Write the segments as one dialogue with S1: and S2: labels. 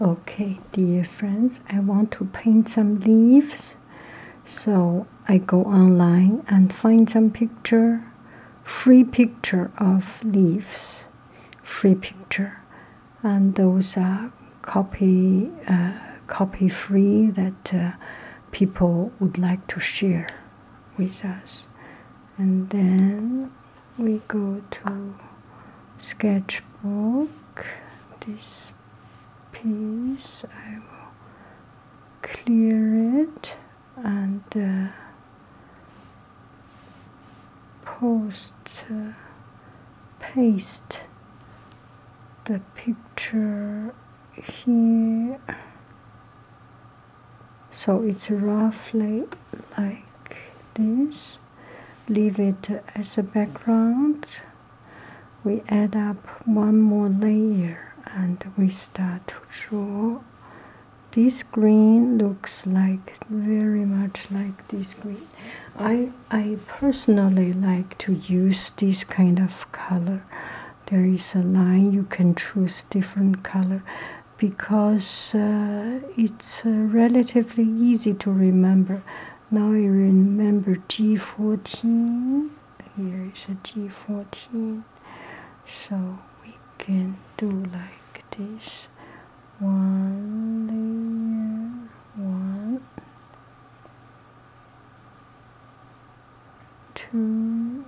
S1: Okay, dear friends, I want to paint some leaves. So I go online and find some picture, free picture of leaves, free picture. And those are copy, uh, copy free that uh, people would like to share with us. And then we go to sketchbook this piece I will clear it and uh, post uh, paste the picture here so it's roughly like this leave it as a background we add up one more layer and we start to draw this green looks like very much like this green i i personally like to use this kind of color there is a line you can choose different color because uh, it it's uh, relatively easy to remember. Now you remember G14. Here is a G14. So we can do like this. One layer, one, two,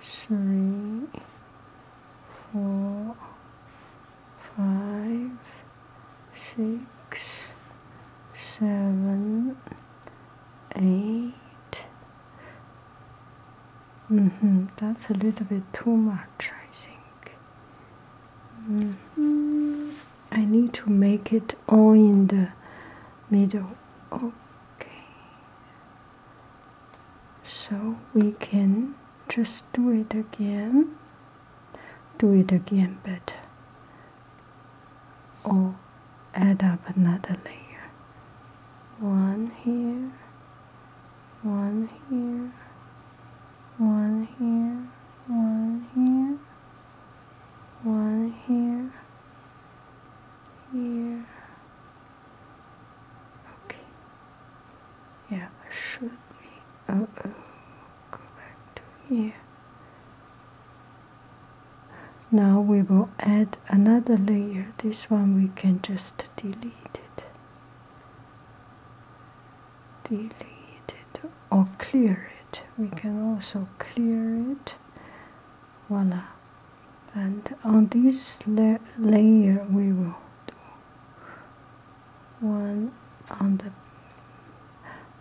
S1: three, four, five, six, seven, eight. Mm -hmm. That's a little bit too much, I think. -hmm. I need to make it all in the middle. Okay. So we can just do it again do it again but or oh, add up another layer one here one here one here one here one here here okay yeah I should be Oh, oh, go back to here. Now we will add another layer. This one we can just delete it. Delete it or clear it. We can also clear it. Voila. And on this layer we will do one on the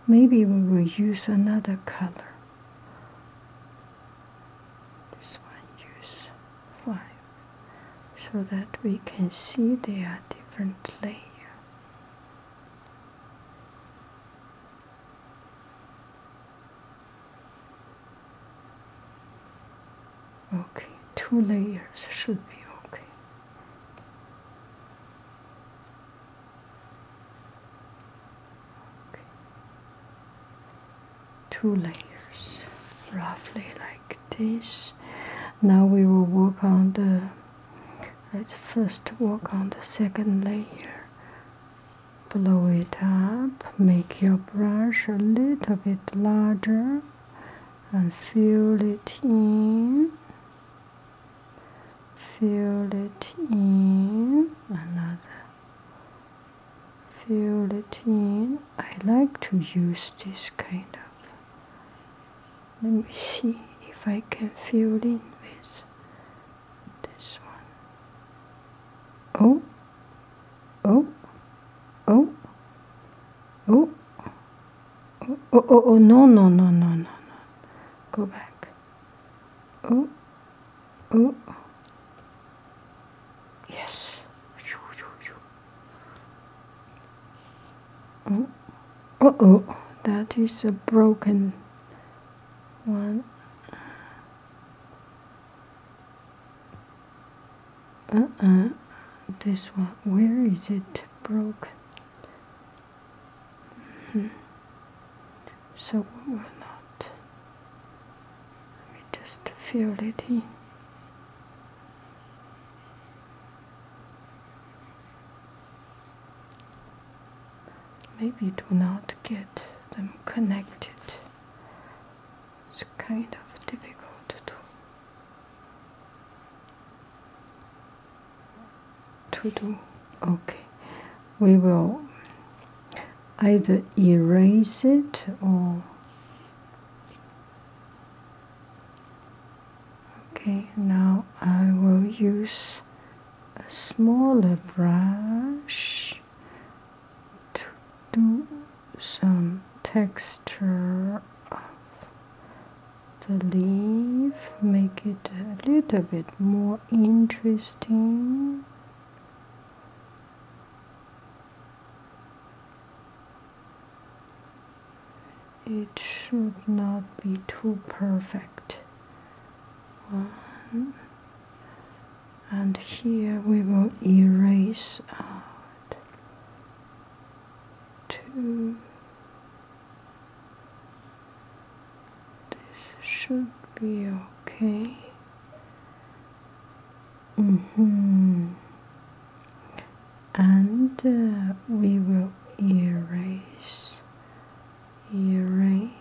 S1: maybe we will use another color this one use five so that we can see they are different layers. okay two layers should be okay two layers roughly like this now we will work on the let's first work on the second layer blow it up make your brush a little bit larger and fill it in, fill it in, another, fill it in. I like to use this kind of. Let me see if I can fill in with this one. Oh, oh, oh, oh, Oh, oh, oh, no, no, no, no, no, Go back. Oh, oh. Yes. oh, oh. That is a broken one. Uh-uh. This one. Where is it broke? Hmm. So we're not. Let me just fill it in. Maybe do not get them connected. It's kind of difficult to to do okay we will either erase it or okay now I will use a smaller brush to do some texture the leaf, make it a little bit more interesting. It should not be too perfect. And here we will erase out two. This should be okay. Mm -hmm. And uh, we will erase, erase.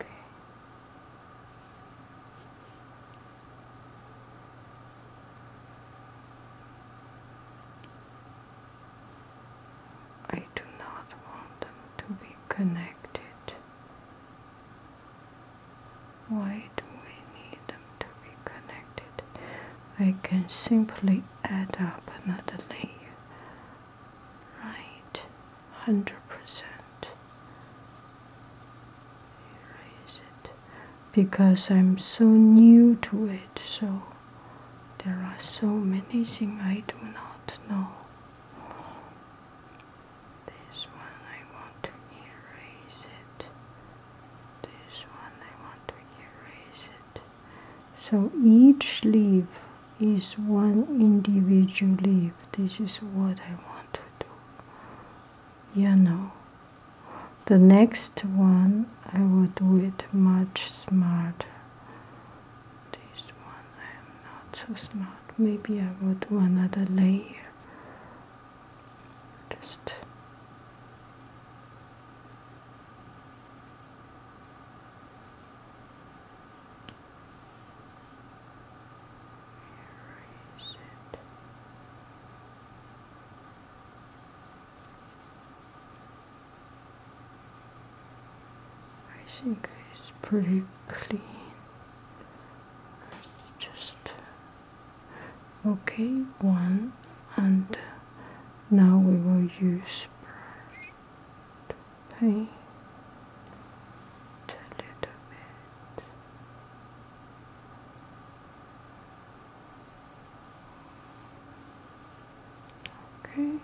S1: Okay. I do not want them to be connected. Why do we need them to be connected? I can simply add up another layer Right, 100%. Erase it. Because I'm so new to it, so there are so many things I do not know. This one I want to erase it. This one I want to erase it. So each leaf is one individual leaf. This is what I want to do. Yeah, no. The next one I will do it much smarter. This one I am not so smart. Maybe I will do another layer. Just I think it's pretty clean. It's just okay one and now we will use to paint a little bit. Okay.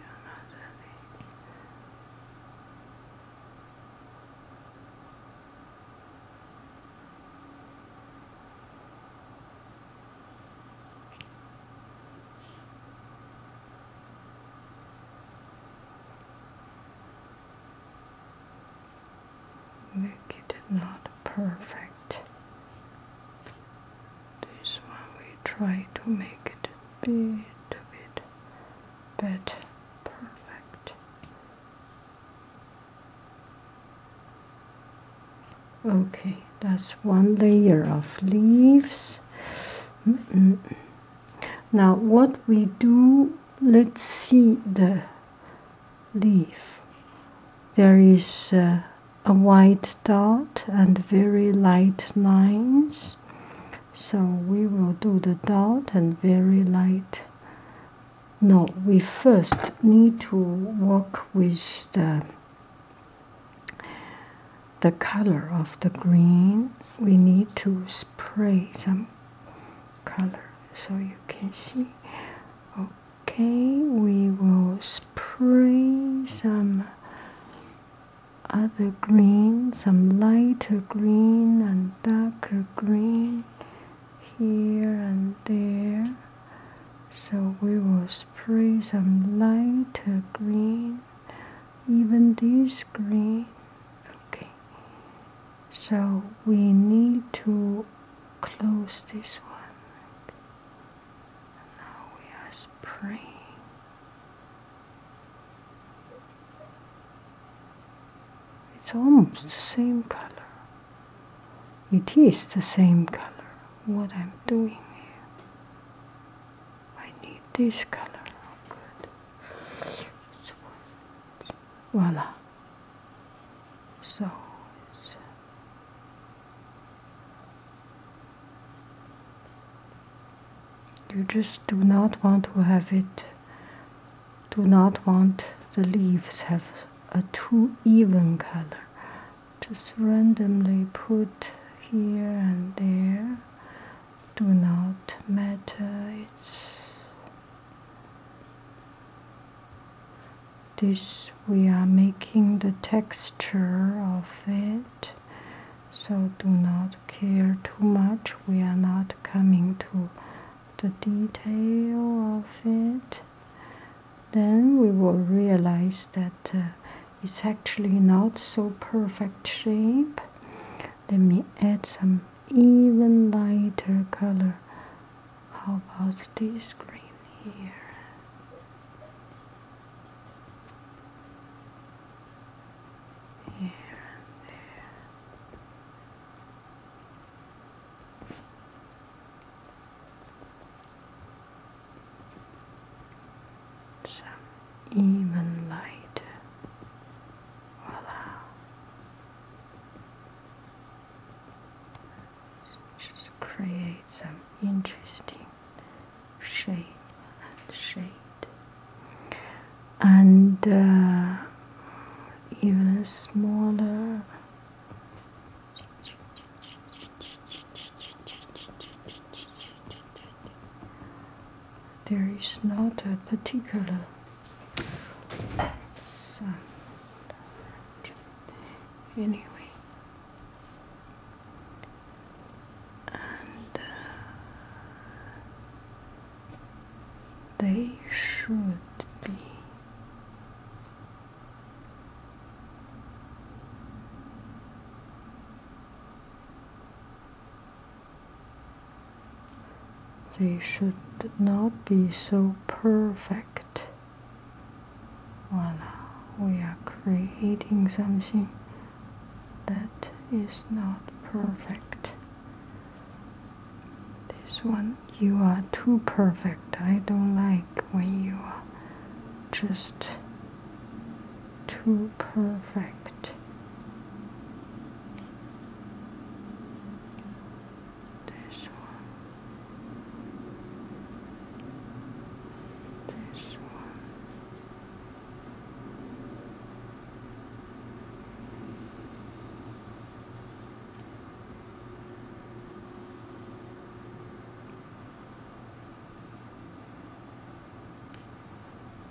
S1: Make it not perfect. This one we try to make it bit, a bit better, perfect. Okay that's one layer of leaves now what we do let's see the leaf there is uh, a white dot and very light lines so we will do the dot and very light no we first need to work with the the color of the green we need to spray some color so you can see okay we will spray some other green some lighter green and darker green here and there so we will spray some lighter green even this green okay so we need to close this one now we are spraying it's almost the same color it is the same color what I'm doing here I need this color. Oh, good. Voila. So. You just do not want to have it, do not want the leaves have a too even color. Just randomly put here and there do not matter it's this we are making the texture of it so do not care too much we are not coming to the detail of it then we will realize that uh, it's actually not so perfect shape let me add some even lighter color how about this green here here and there some even light. Voila. Just create some interesting shape and shade, and uh, even smaller there is not a particular sun anyway and uh, they should be they should not be so perfect. Voila, we are creating something that is not perfect. This one, you are too perfect. I don't like when you are just too perfect. This one, this one.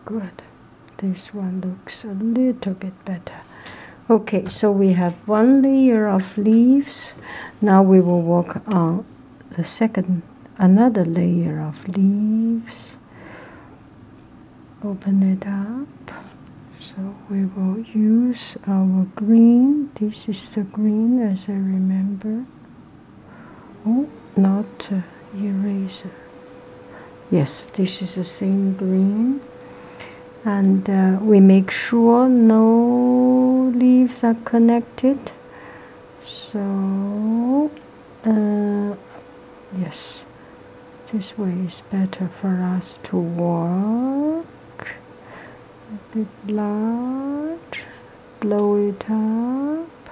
S1: Good. This one looks a little bit better. Okay, so we have one layer of leaves. Now we will work on the second, another layer of leaves. Open it up. So we will use our green. This is the green as I remember oh not eraser yes this is the same green and uh, we make sure no leaves are connected so uh, yes this way is better for us to work a bit large blow it up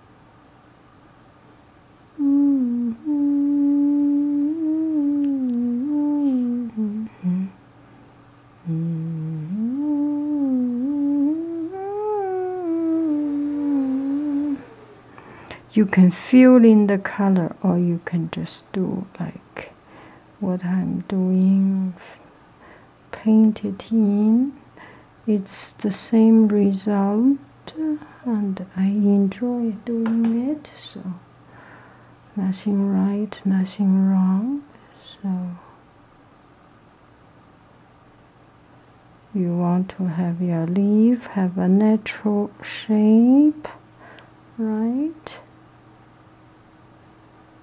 S1: you can fill in the color or you can just do like what I'm doing painted in it's the same result and I enjoy doing it so nothing right nothing wrong so you want to have your leaf have a natural shape right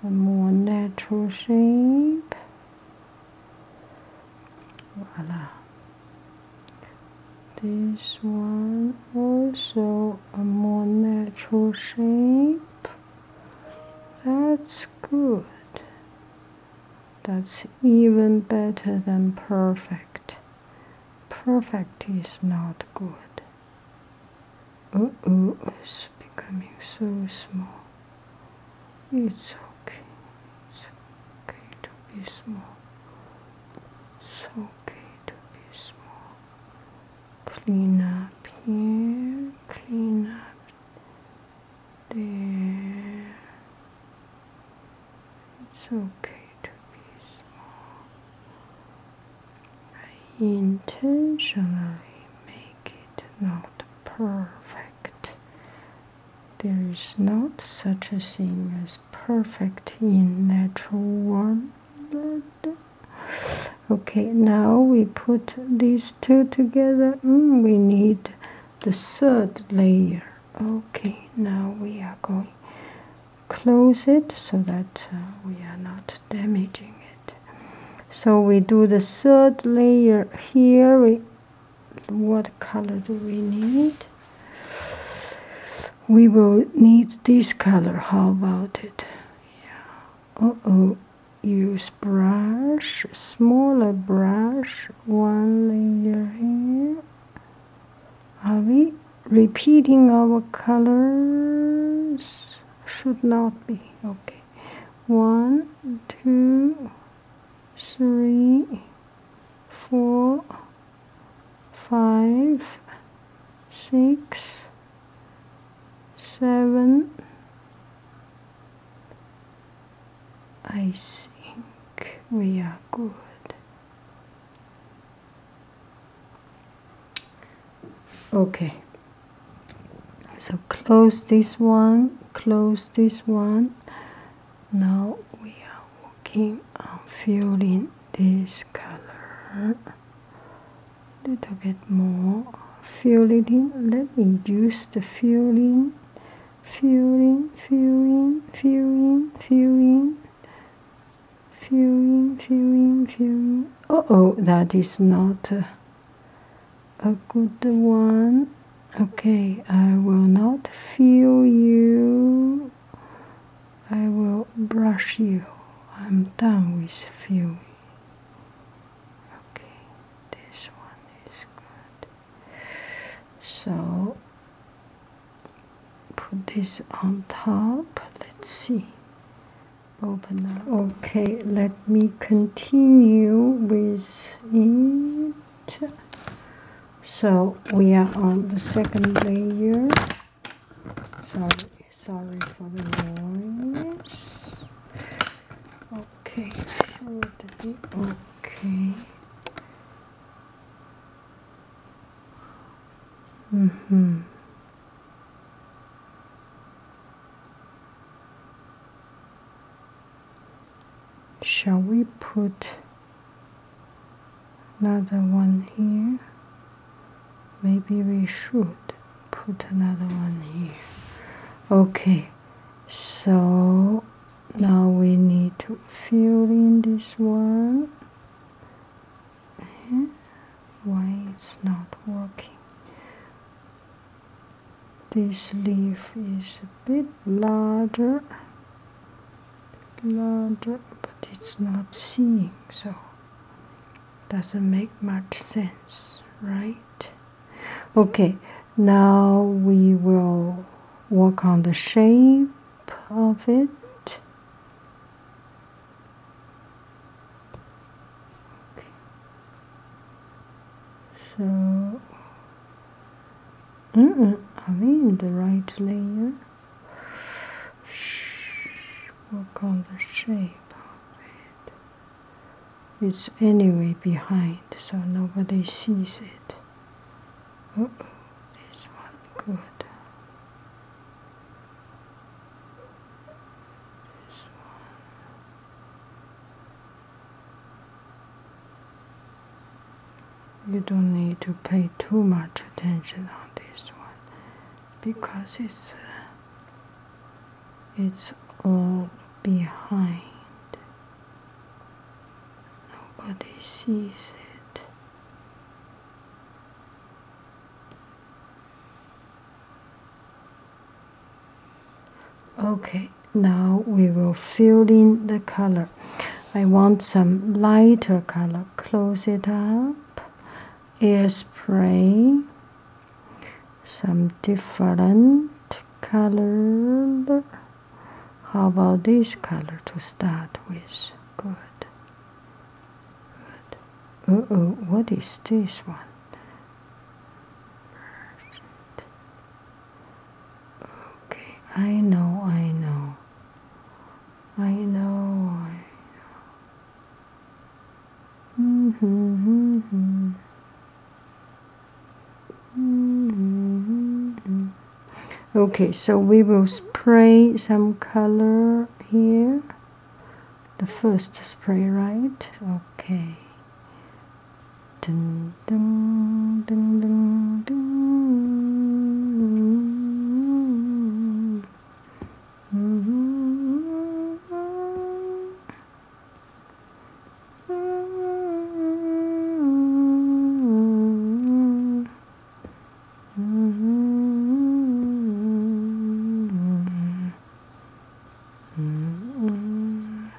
S1: a more natural shape voila this one also a more natural shape that's good that's even better than perfect perfect is not good uh oh it's becoming so small it's okay. It's okay to be small. It's okay to be small. Clean up here. Clean up there. It's okay to be small. I intentionally make it not perfect. There is not such a thing as perfect in natural world. Okay, now we put these two together. Mm, we need the third layer. Okay, now we are going close it so that uh, we are not damaging it. So we do the third layer here. We what color do we need? We will need this color. How about it? Yeah. Uh oh. Use brush, smaller brush, one layer here. Are we repeating our colors? Should not be. Okay. One, two, three, four, five, six, seven. I think we are good. Okay, so to close this one close this one now we are working on filling this color a little bit more filling in let me use the filling filling filling filling filling filling filling filling uh oh that is not uh, a good one. Okay, I will not feel you. I will brush you. I'm done with feeling. Okay, this one is good. So put this on top. Let's see. Open Okay, let me continue with it so we are on the second layer sorry sorry for the noise okay should be okay
S2: mm-hmm
S1: shall we put another one here maybe we should put another one here okay so now we need to fill in this one eh? why it's not working this leaf is a bit larger, larger, but it's not seeing, so doesn't make much sense, right? Okay, now we will work on the shape of it. So Mm -mm, are we in the right layer? Shh, work on the shape it. It's anyway behind, so nobody sees it. -oh, this one, good. This one. You don't need to pay too much attention on this one because it's uh, it's all behind. Nobody sees it. Okay, now we will fill in the color I want some lighter color close it up air spray some different color how about this color to start with good good oh what is this one Okay, I know, I know. I know, I know. Mm hmm, hmm, hmm, hmm. Okay, so we will spray some color here. The first spray, right? Okay. Dun, dun, dun, dun, dun.
S2: Mm -hmm. Mm -hmm. Mm -hmm.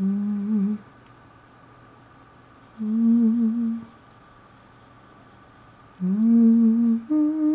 S2: Mm. Mm. Mm. Mm-hmm.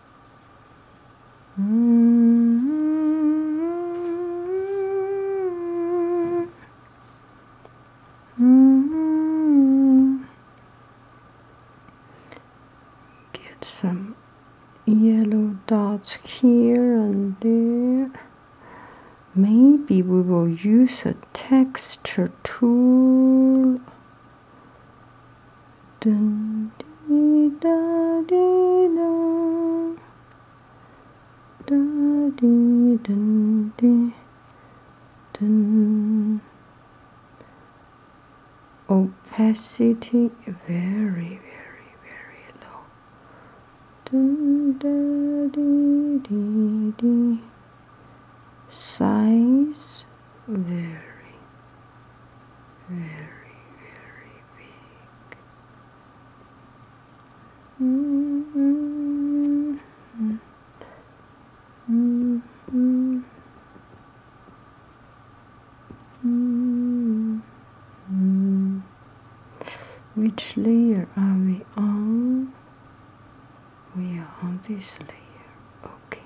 S2: Get
S1: some yellow dots here and there. Maybe we will use a texture tool Dun dee da dee da da dee dun dee dun. Opacity very very very low. Dun da dee dee dee. Size very very very Mm -hmm.
S2: Mm -hmm.
S1: Mm -hmm. Which layer are we on? We are on this layer. Okay.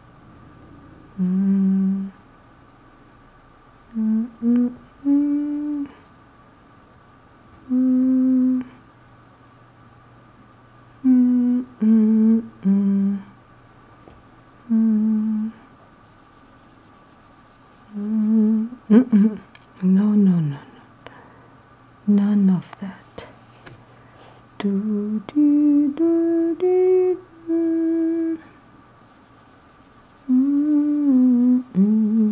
S2: Mm. Mm -mm -mm. Mm. Mm -mm -mm.
S1: Mm. Mm -mm. No, no, no, no. None of that. Do, do, do, do, do.
S2: Mm, mm, mm.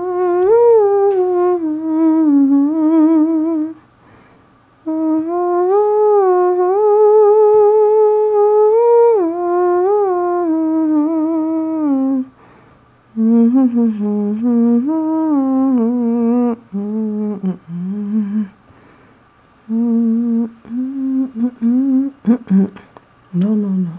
S1: no, no, no.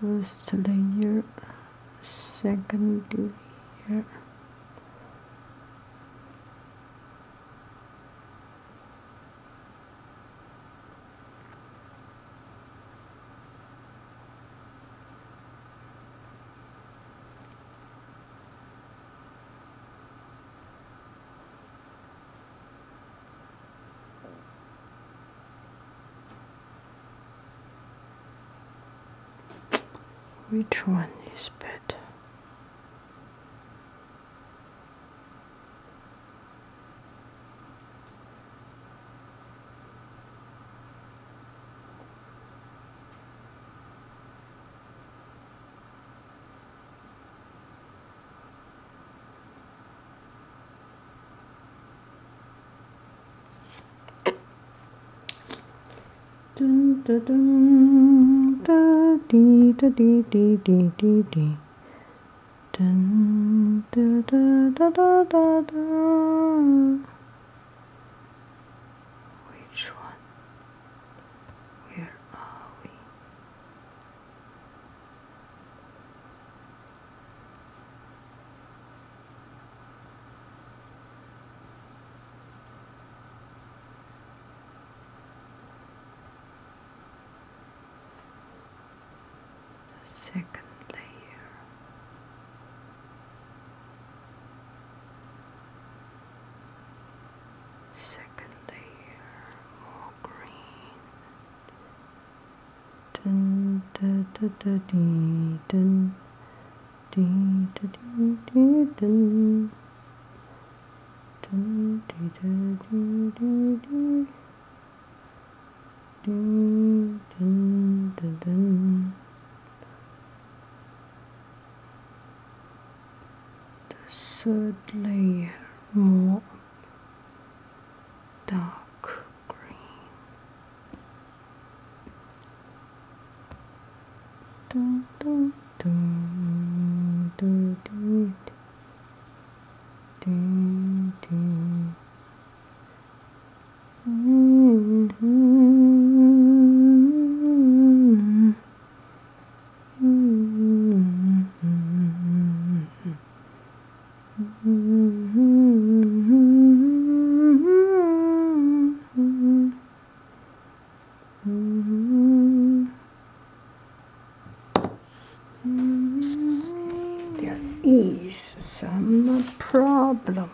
S1: first layer, second layer. Which one is better? Dun, dun, dun, da, dee, da, dee, dee, dee, dee, dee. Dun, da, da, da, Which one?
S2: Where are we?
S1: the second layer. Second layer, more green, Dun, dun, dun, dun, dun, dun, dun, dun. The third layer more dark green.
S2: Dun, dun, dun, dun, dun, dun. Mm -hmm. Mm -hmm.
S1: There is some problem.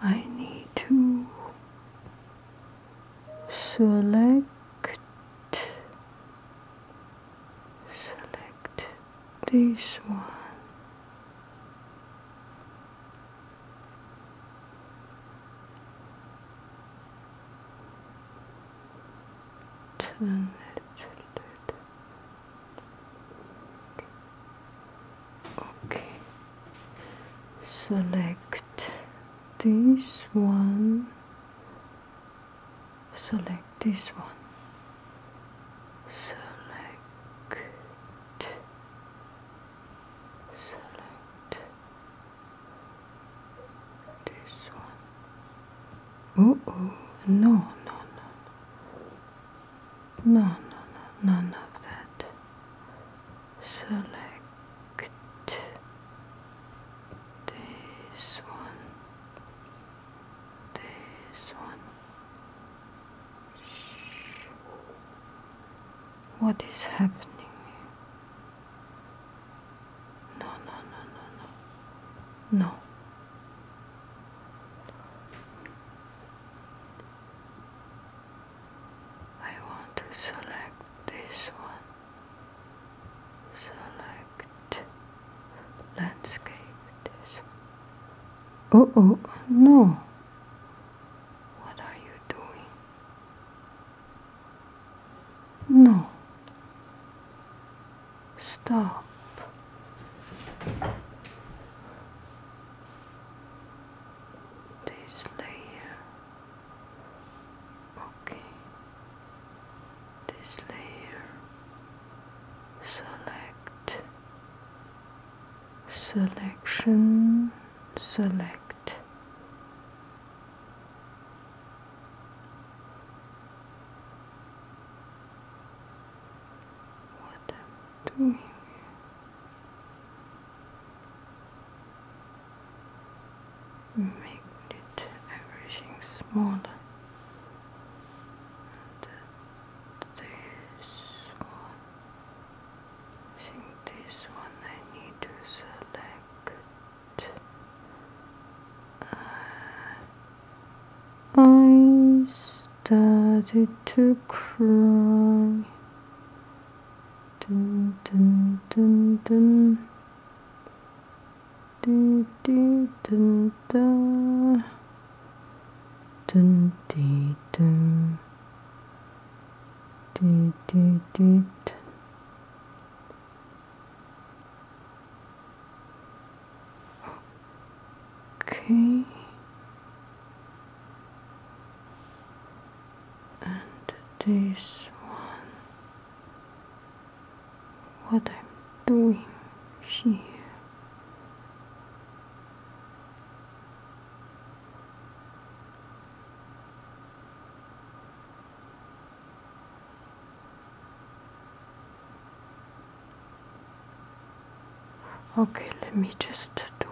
S1: I need to select select this one turn it okay select this one select this one select select this one oh oh no no no no no no none of that select this one this one. What is happening? No, no, no, no, no. No. I want to select this one. Select landscape it is. Oh, oh, no. What are you doing? No. Stop. This layer. Okay this layer, select, selection, select. What I'm doing. Make it everything smaller this one. I think this one I need to select. Uh, I started to cry. Dun, dun, dun, dun dun, dun, dun, dun. Dun, dee, dun.
S2: Dee, dee, dee.
S1: Okay. And this one what I'm doing here. Okay, let me just do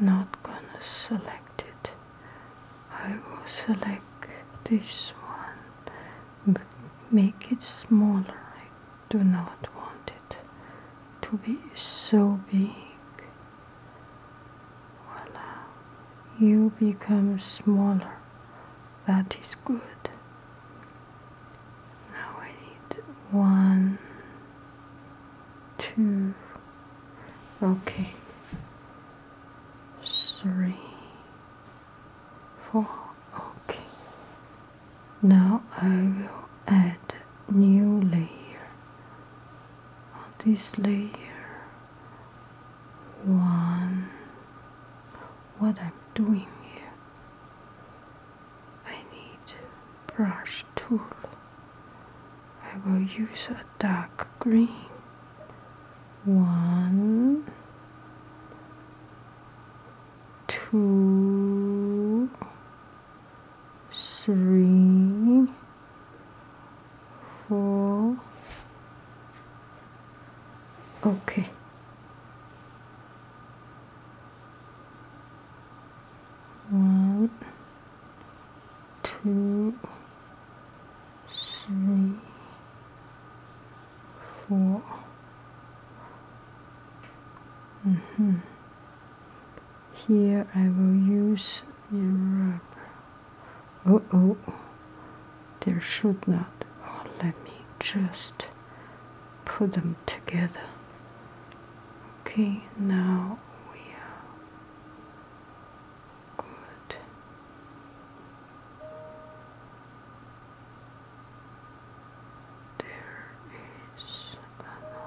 S1: not gonna select it. I will select this one make it smaller. I do not want it to be so big. Voila. You become smaller. That is good. Now I need one, two, okay three four okay now I will add new layer on this layer one what I'm doing here I need brush tool I will use a dark green. One, two, three, four. Okay.
S2: One two, three, four.
S1: Mm -hmm. Here I will use the rubber. Oh oh, there should not. Oh, let me just put them together. Okay, now we are Good. There is enough. Good.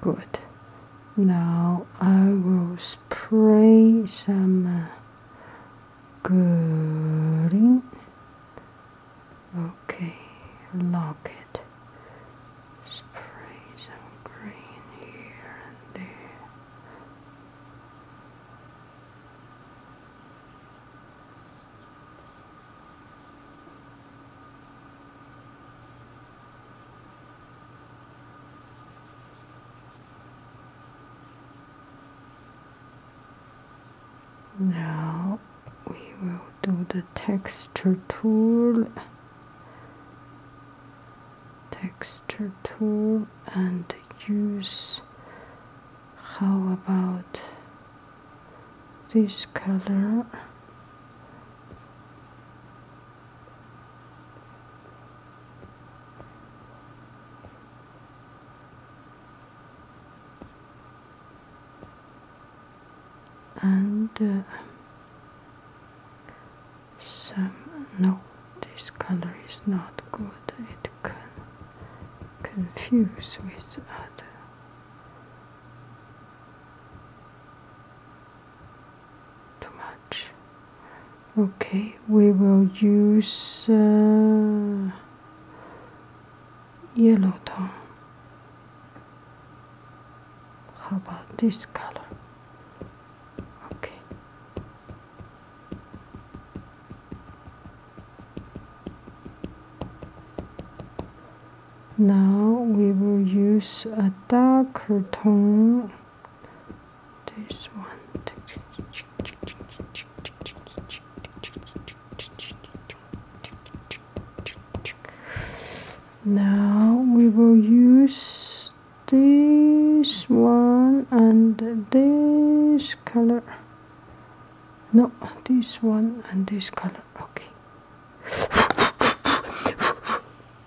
S1: Good. Now I will spray some uh, green. Okay, lock it. Spray some green here and there. Now we will do the texture tool, texture tool and use how about this color and uh, some no this color is not good it can confuse with other too much okay we will use uh, yellow tone how about this color okay now we will use a darker tone. This one. Now we will use this one and this color. No, this one and this color. Okay.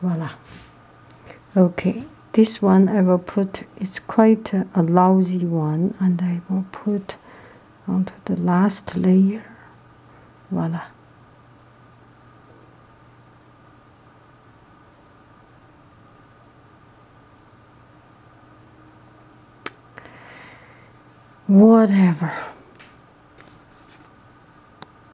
S1: voila okay this one I will put it's quite a, lousy one and I will put onto the last layer voila whatever